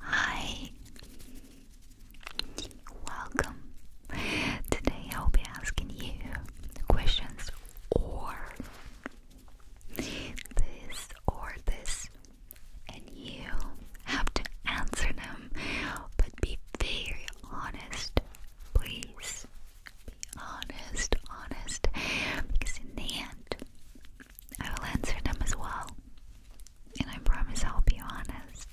Hi, welcome. Today I'll be asking you questions or this or this, and you have to answer them, but be very honest, please. Be honest, honest, because in the end, I will answer them as well. And I promise I'll be honest.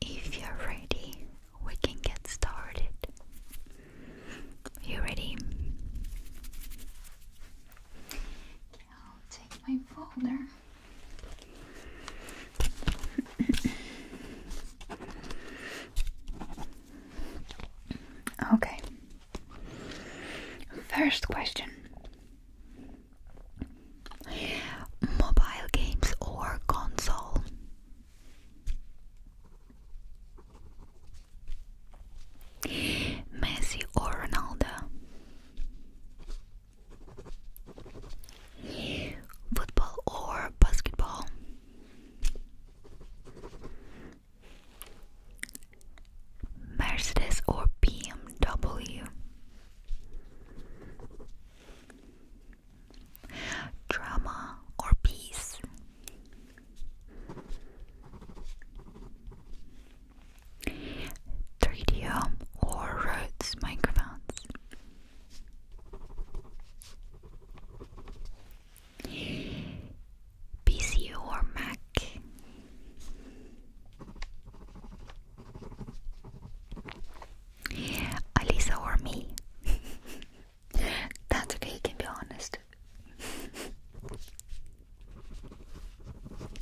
If you're ready, we can get started. You ready? I'll take my folder. Okay. First question Mobile games or console? Messi or Ronaldo? Football or basketball? Mercedes or BMW? Drama or peace? Tritium or Rhodes microphones? PC or Mac? Alisa or me? That's okay, you can be honest.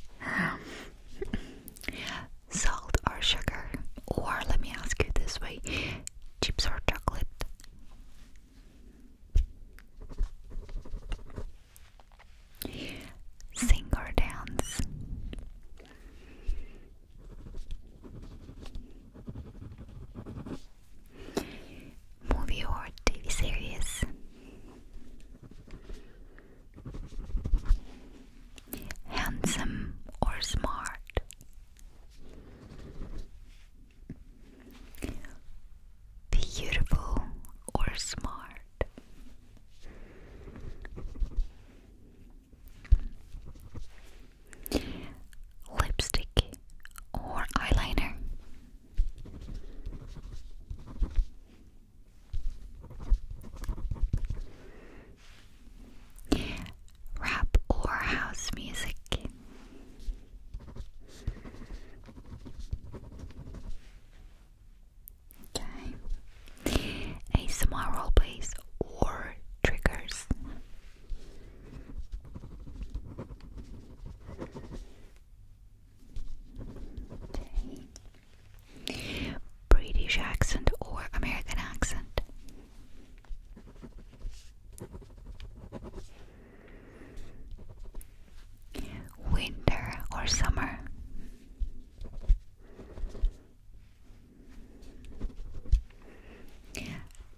Salt or sugar? Or let me ask you this way chips or chocolate? Sing or dance. Movie or TV series. Handsome or smart. Beautiful or smart? Lipstick or eyeliner? rap or house music. Okay. ASMR roleplays or triggers. Okay. British accent or American accent. Winter or summer?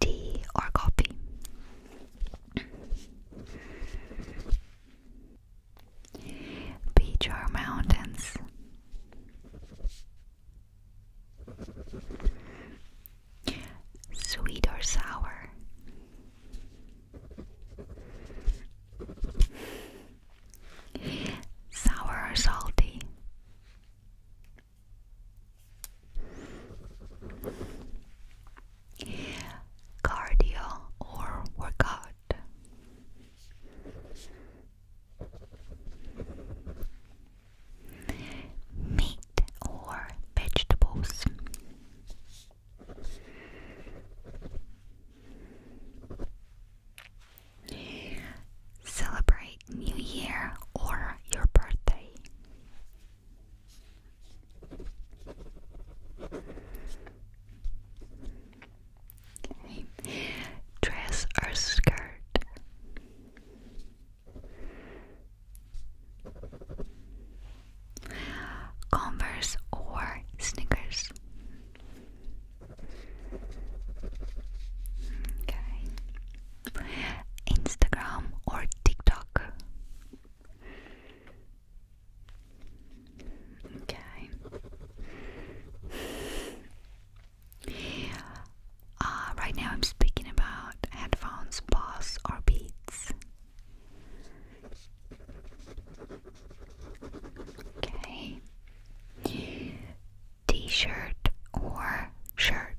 Tea or coffee? Beach or mountains? Sweet or sour? Sour or salty? Cardio or workout? meat or vegetables. Celebrate New Year or your birthday. Dress or skirt. Converse or sneakers. Okay. Instagram or TikTok. Okay. Uh, right now, I'm speaking about headphones, Boss, or Beats. Okay. T shirt or shirt?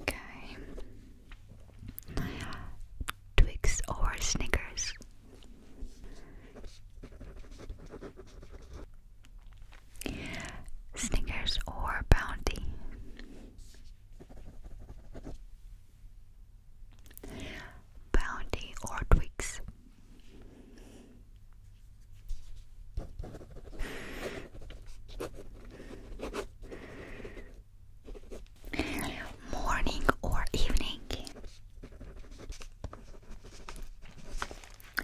Okay. Twix or Snickers? Snickers or Bounty? Bounty or Twix? Morning or evening?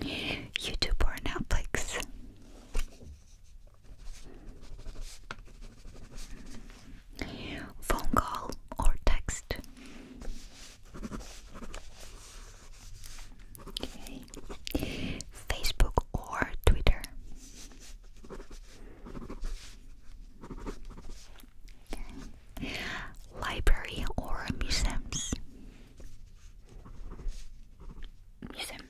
YouTube or Netflix? Phone call or text? Okay. Facebook or Twitter? library or museums. Museum.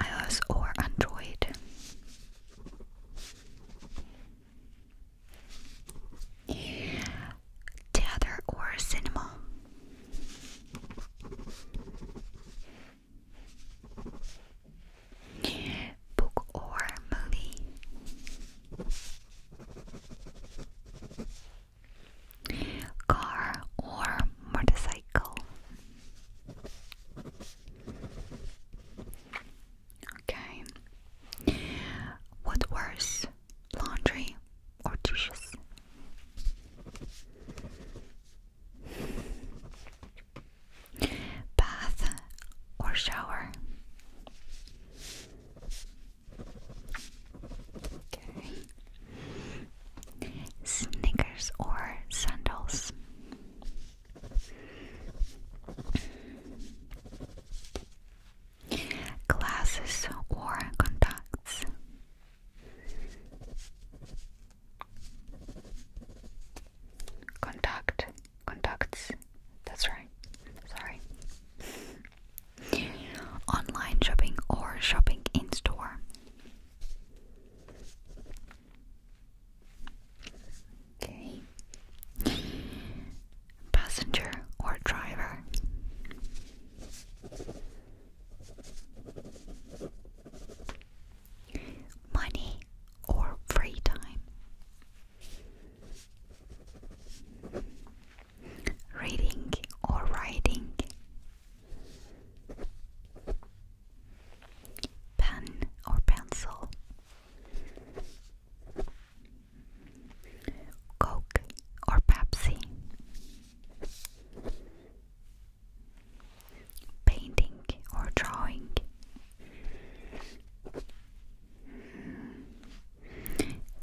iOS or Android. Theater or cinema. Book or movie? Car or motorcycle? Okay. What worse, laundry or dishes? Bath or shower? Okay. Sneakers or sandals? Glasses or contacts? Contacts. That's right. Sorry. Online shopping or shopping in store. Okay. Passenger or driver money, or free time. Reading or writing. Pen or pencil. Coke or Pepsi painting or drawing.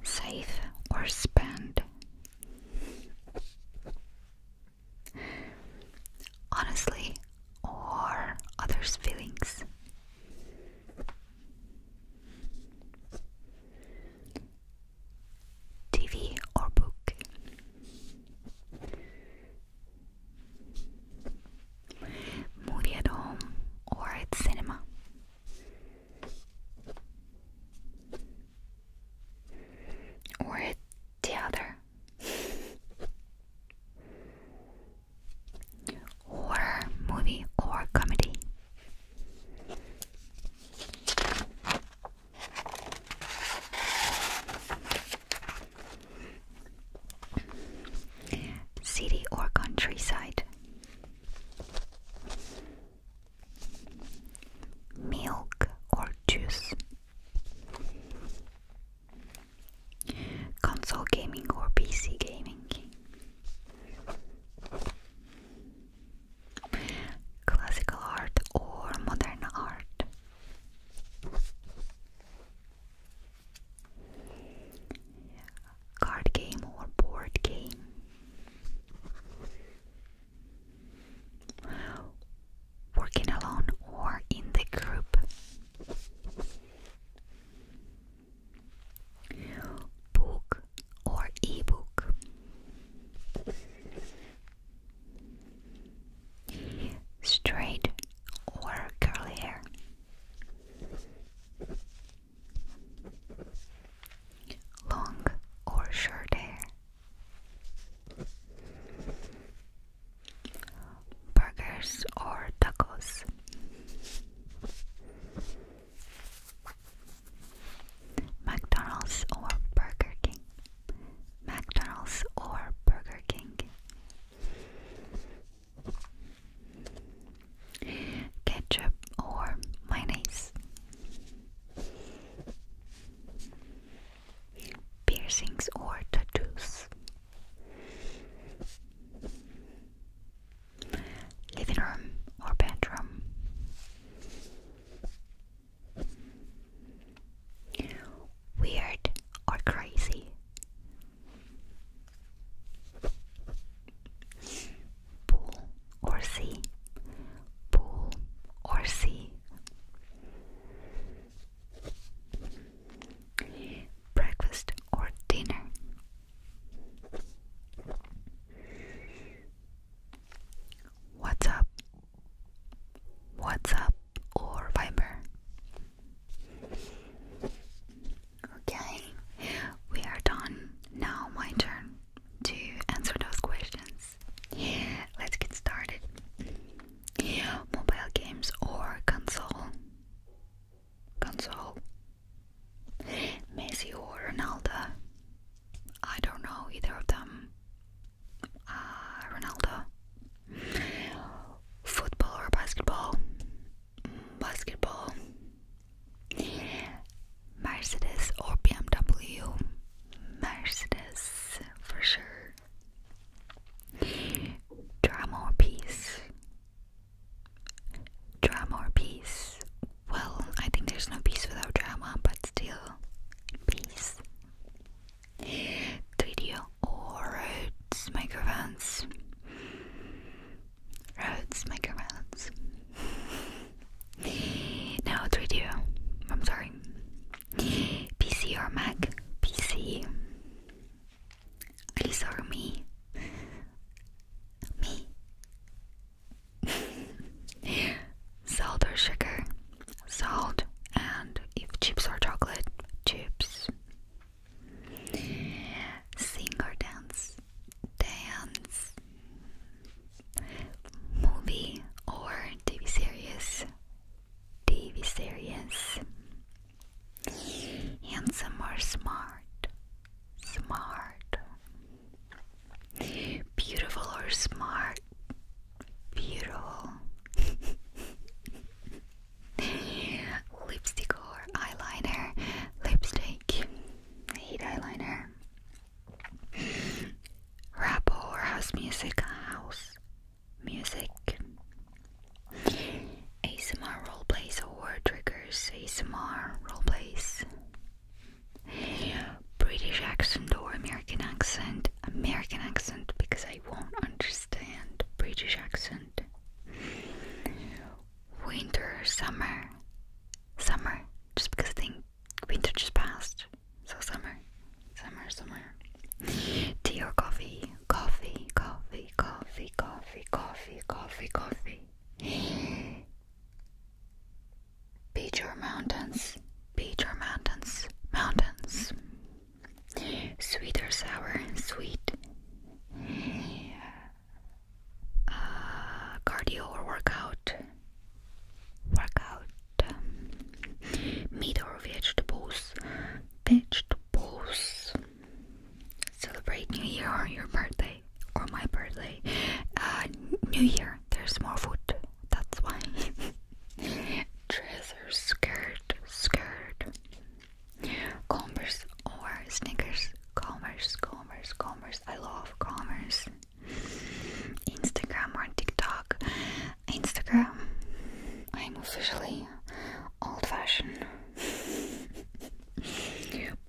Save or spend. Honestly, or others' feelings. TV or book movie at home or at cinema. Or at the other. or movie or comedy. City or countryside. Milk or juice. Console gaming or PC gaming. Classical art or modern art. Card game or board game? Working alone or in the group? Book or ebook? Straight or curly hair. Long or short hair. Burgers or tacos. McDonald's or Burger King. McDonald's or Burger King. Ketchup or mayonnaise. Piercings or tattoos. Living room or bedroom weird or crazy. Pool or sea, pool or sea. Breakfast or dinner. What's up WhatsApp or Viber. Okay, we are done. Now, my turn to answer those questions. Let's get started. Mobile games or console? Console. Messi or Ronaldo? I don't know either of them. Ah, Ronaldo. Football or basketball? Mm, basketball. Mercedes or BMW? Mercedes, for sure. Drama or peace? Drama or peace? Well, I think there's no peace without drama, but still, peace video or Rhodes microphones. Rhodes microphones. no, 3D. I'm sorry. PC or Mac? PC. Alice or me? Me. Salt sugar? salt, and if chips are chocolate, chips. Sing or dance, dance, movie or TV series, TV series. Handsome or smart, smart. Beautiful or smart, Beautiful. Lipstick or eyeliner? Lipstick. I hate eyeliner. Rap or house music? House music. ASMR roleplays or triggers? ASMR roleplays. British accent or American accent? and American accent because I won't understand British accent. Winter, summer, summer, just because I think winter just passed, so summer, summer, summer. Tea or coffee, coffee, coffee, coffee, coffee, coffee, coffee, coffee. Beach or mountains, beach or mountains, mountains. Sweet or sour? Sweet. Uh, cardio or workout? Workout. Um, meat or vegetables? Vegetables. Celebrate New Year or your birthday or my birthday. Uh, New Year, there's more food. That's why. Dresser, skirt, skirt. Converse or sneakers. Commerce, commerce, commerce. I love commerce. Instagram or TikTok. Instagram. I'm officially old fashioned.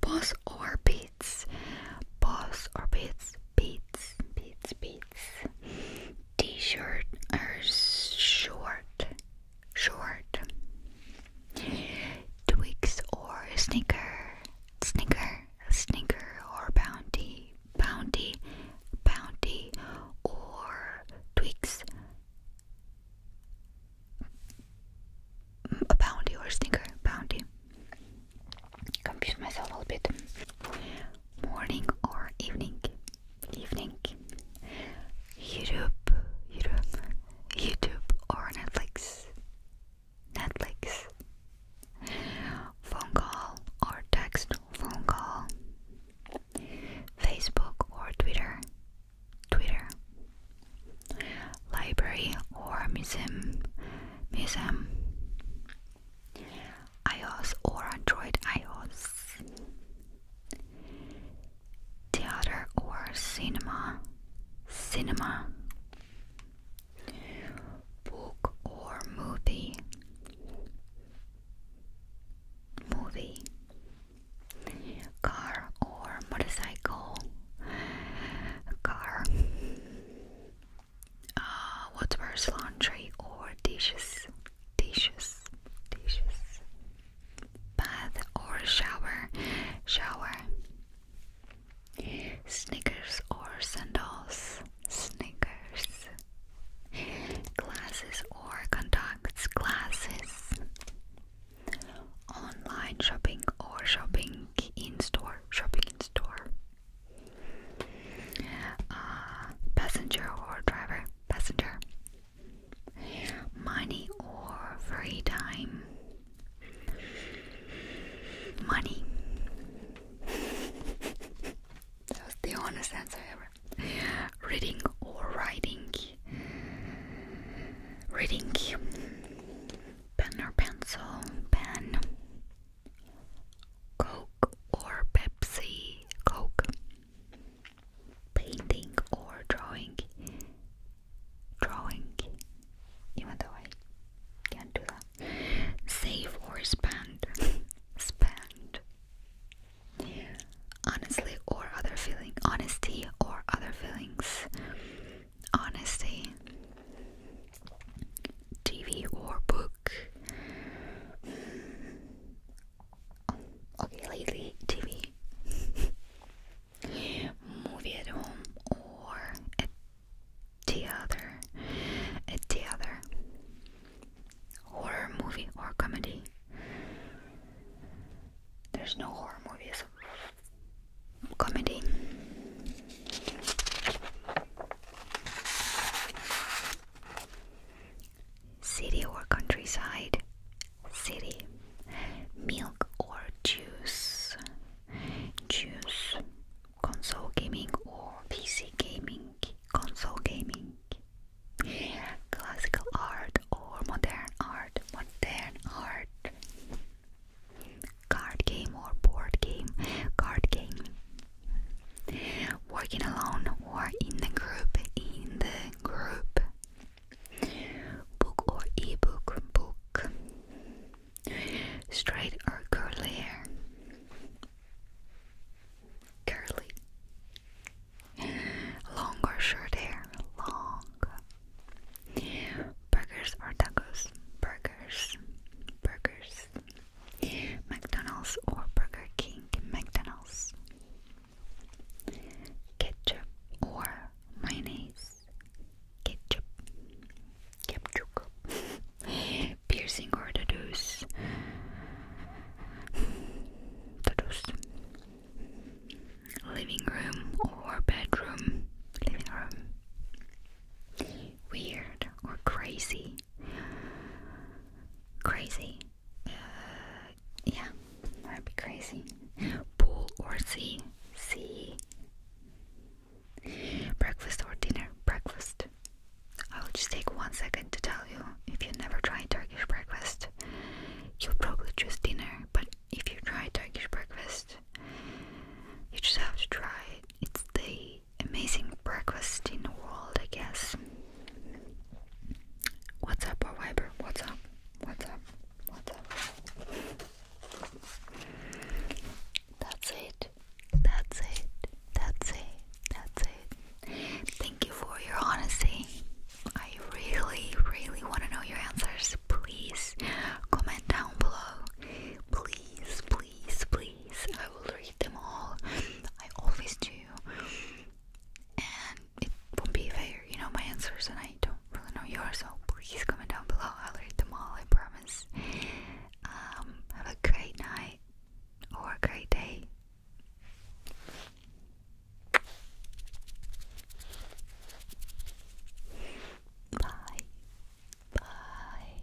Boss or beats. Boss or beats. Beats, beats, beats t-shirt or short, short, Twix or sneaker, sneaker, sneaker or bounty, bounty, bounty or Twix, a bounty or sneaker, bounty. Confuse myself a little bit. Morning or evening evening. YouTube, YouTube, YouTube or Netflix. Netflix. Phone call or text phone call. Facebook or Twitter. Twitter. Library or museum. Museum iOS or Android iOS, theater or cinema, cinema, book or movie, movie, car or motorcycle, car. Uh, what's worse, laundry or dishes? dishes, dishes, bath or shower, shower, sneakers or sandals, sneakers, glasses or contacts, glasses, online shopping or shopping in store, shopping in store. Uh, passenger or driver? Passenger. Money or free time? Money. that was the honest answer ever. Reading or writing? Reading. Pen or pencil? Pen. Coke or Pepsi? Coke. Painting or drawing? Drawing. Even though I can't do that. Save or spend? spend. Honestly or other feelings. Honesty or other feelings? Honesty. TV or book? Mm. okay, lately TV, movie at home or at theater, at theater, horror movie or comedy. There's no horror movies. Comedy. City or countryside. City. Milk or juice. Juice. Console gaming or PC gaming. Console gaming. Classical art or modern art. Modern art. Card game or board game. Card game. Working alone or in the group, in the group. Book or ebook, book. Straight or curly hair. Curly. Long or short hair, long. Burgers or tacos, burgers, burgers. McDonald's or Burger King McDonald's ketchup or mayonnaise ketchup ketchup piercing or tattoos tattoos living room or bedroom living room weird or crazy Crazy. Uh, yeah, that'd be crazy. Pool or sea? Sea. Breakfast or dinner? Breakfast. I'll just take one second to tell you if you never try Turkish breakfast, you'll probably choose dinner, but if you try Turkish breakfast, you just have to try it. It's the amazing breakfast in the world, I guess. What's up, or Viber? What's up? What's up? What's up? That's it. That's it. That's it. That's it. Thank you for your honesty. I really, really want to know your answers. Please comment down below. Please, please please, please. I will read them all. I always do. And it won't be fair, you know, my answers, and I don't really know yours, so please comment down below. I'll read them all, I promise. Um, have a great night or a great day. Bye. Bye.